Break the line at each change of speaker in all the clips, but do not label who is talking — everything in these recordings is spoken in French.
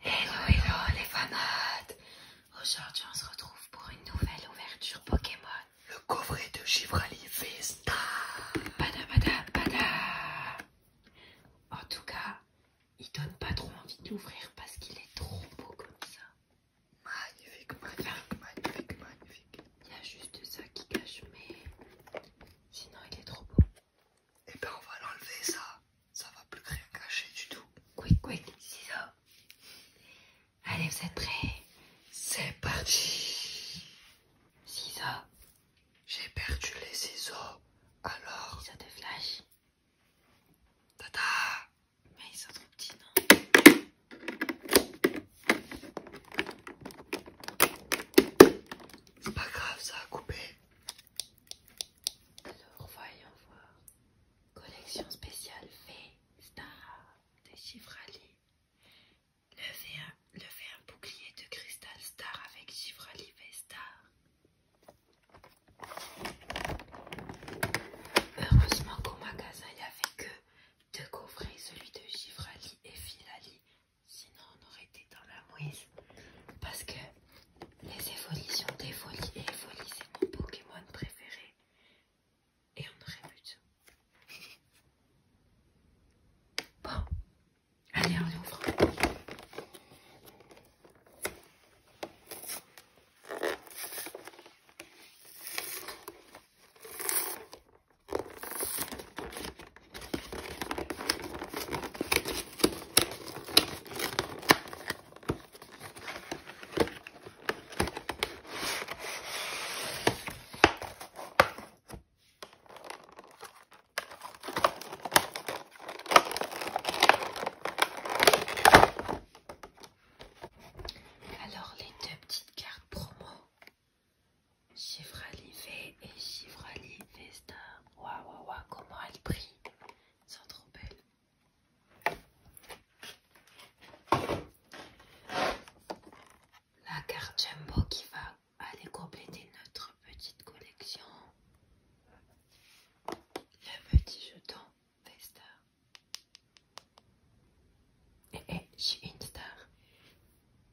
Hello hello les fanates Aujourd'hui on se retrouve pour une nouvelle ouverture Pokémon Le coffret de Givrali Vesta En tout cas, il donne pas trop envie d'ouvrir parce qu'il est trop beau comme ça Magnifique, magnifique, magnifique, magnifique Il y a juste ça qui cache mais sinon il est trop beau et eh ben on va l'enlever ça. Ça va plus rien cacher du tout. Quick, quick, ciseaux. Allez, vous êtes prêts C'est parti. Ciseaux. J'ai perdu les ciseaux. Alors. Ciseaux de flash. Tata. Mais ils sont trop petits, non c'est pas grave, ça a coupé. Alors voyons voir. Collection spéciale V-Star de Levez le levez un bouclier de cristal star avec V-Star. Heureusement qu'au magasin il n'y avait que deux coffrets, celui de Givrali et Filali Sinon, on aurait été dans la mouise. Parce que les évolutions des folies et c'est mon Pokémon préféré. Et on aurait pu tout. Bon, allez, on l'ouvre. Alors les deux petites cartes promo Givrali V et Givrali Vesta. Waouh, waouh, waouh, comment elle brille. c'est sont trop belles. La carte Jumbo qui va aller compléter notre petite collection. Le petit jeton Vesta. Et, eh, et eh,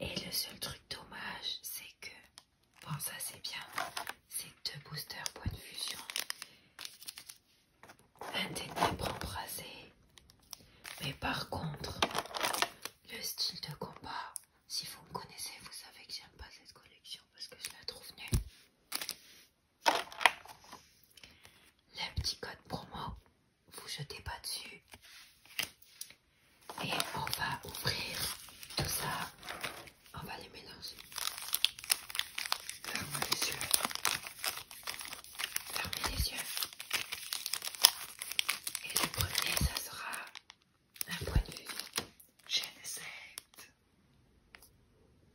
Et le seul truc dommage, c'est que. Bon, ça c'est bien. C'est deux boosters point de fusion. Un ténèbre Mais par contre, le style de combat, si vous me connaissez, vous savez que j'aime pas cette collection parce que je la trouve nulle. Le petit code promo vous jetez pas dessus. Et on va ouvrir tout ça. On va les mélanger. Fermez les yeux. Fermez les yeux. Et le premier, ça sera un point de vue. Chaîne 7.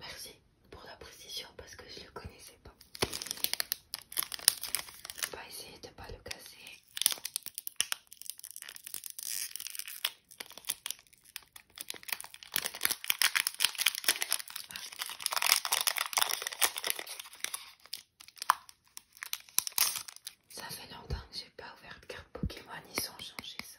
Merci pour la précision parce que je le connaissais pas. On va essayer de pas le casser. Ça fait longtemps que j'ai pas ouvert de carte Pokémon, ils ont changé ça.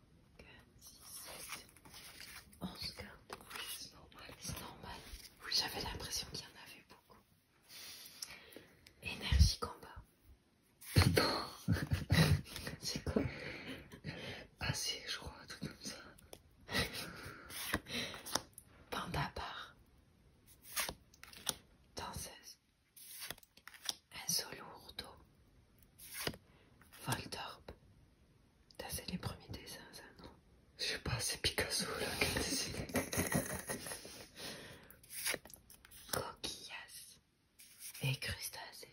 5, 6, 7, 11 Oui, c'est normal. C'est normal. j'avais l'impression qu'il y en avait beaucoup. Énergie combat. C'est quoi Ah je crois un truc comme ça. Panda bar. Danseuse. Un solo Voltorb c'est les premiers dessins, ça non Je sais pas, c'est Picasso là qui a dessiné. Coquillas et crustacé.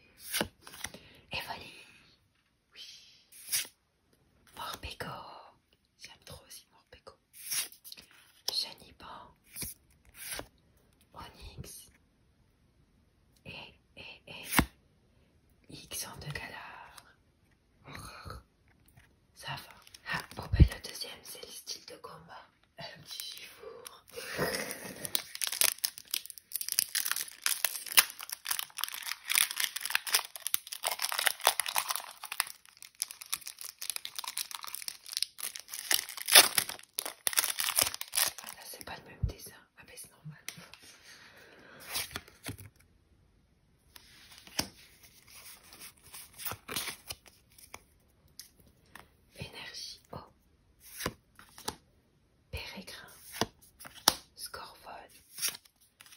Et Oui. Morpego J'aime trop aussi Jenny Chaniban. Onyx. Et, eh, et, eh, et, eh. X en de Ça va. Ah, bon, ben le deuxième, c'est le style de combat. Un petit jour ah là c'est pas le même dessin. Ah bah c'est normal. Énergie O. Pérégrin. Scorvol.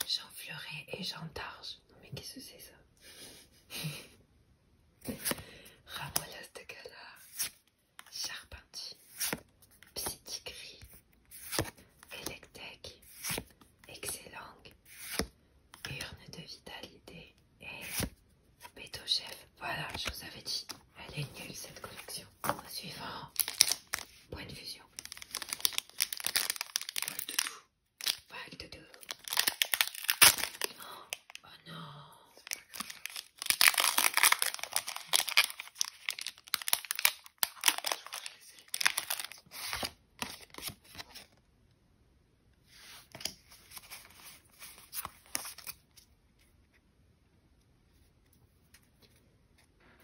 Jean Fleuré et Jean Targe. Non mais qu'est-ce que c'est ça Ramolas de Gala. Charpentier, Psytigris, Electec, Excellang, Urne de Vitalité et Bétochef. Voilà, je vous avais dit, elle est nulle cette collection. suivant, point de fusion. de Oh non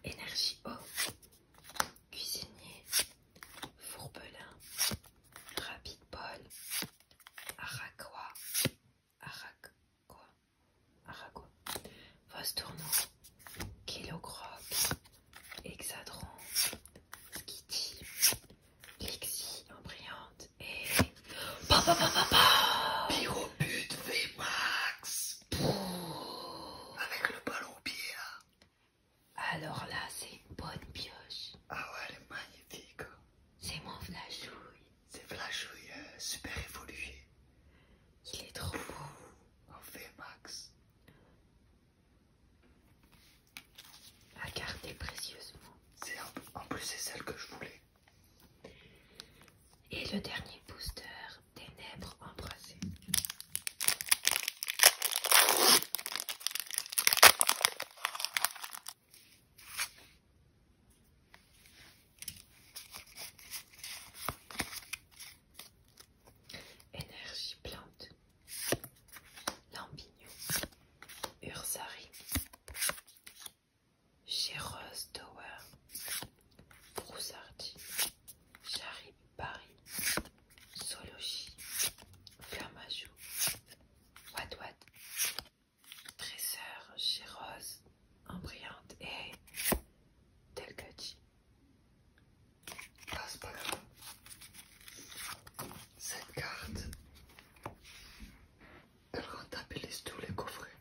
Énergie O, cuisinier, fourbelin, rapide bol araqua, Aragua, Aragua, Vostourneau, Kilocroc, Hexadron, Skitty, Lixie, Embryante et. Pa pa pa Avec le ballon au hein. Alors là, c'est une bonne pioche. Ah ouais, elle est magnifique. Hein. C'est mon flashouille. C'est flashouille hein, super évolué. Il est trop beau. En fait max. À garder précieusement. En plus, c'est celle que je voulais. Et le dernier booster, ténèbres embrassées. Énergie plante, Lampignon, Ursari, Chéreuse Tower, Broussardi. Charib, Paris, Soloshi, Flamajou, Wadwad, Tresseur, Gérose, Embryante et Telcochi Ah, c'est pas grave. Cette carte, elle rentabilise tous les coffrets.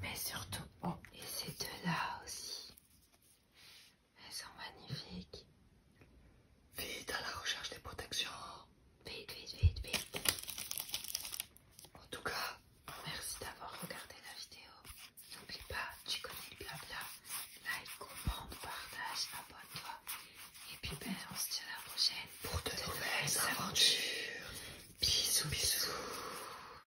Mais surtout, oh. et ces deux là aussi. Elles sont magnifiques. Vite à la recherche des protections. Vite, vite, vite, vite. En tout cas, oh, merci d'avoir regardé la vidéo. N'oublie pas, tu connais le blabla. Like, commente, partage, abonne-toi. Et puis ben, on se dit à la prochaine pour de, nouvelles aventures. bisous. bisous.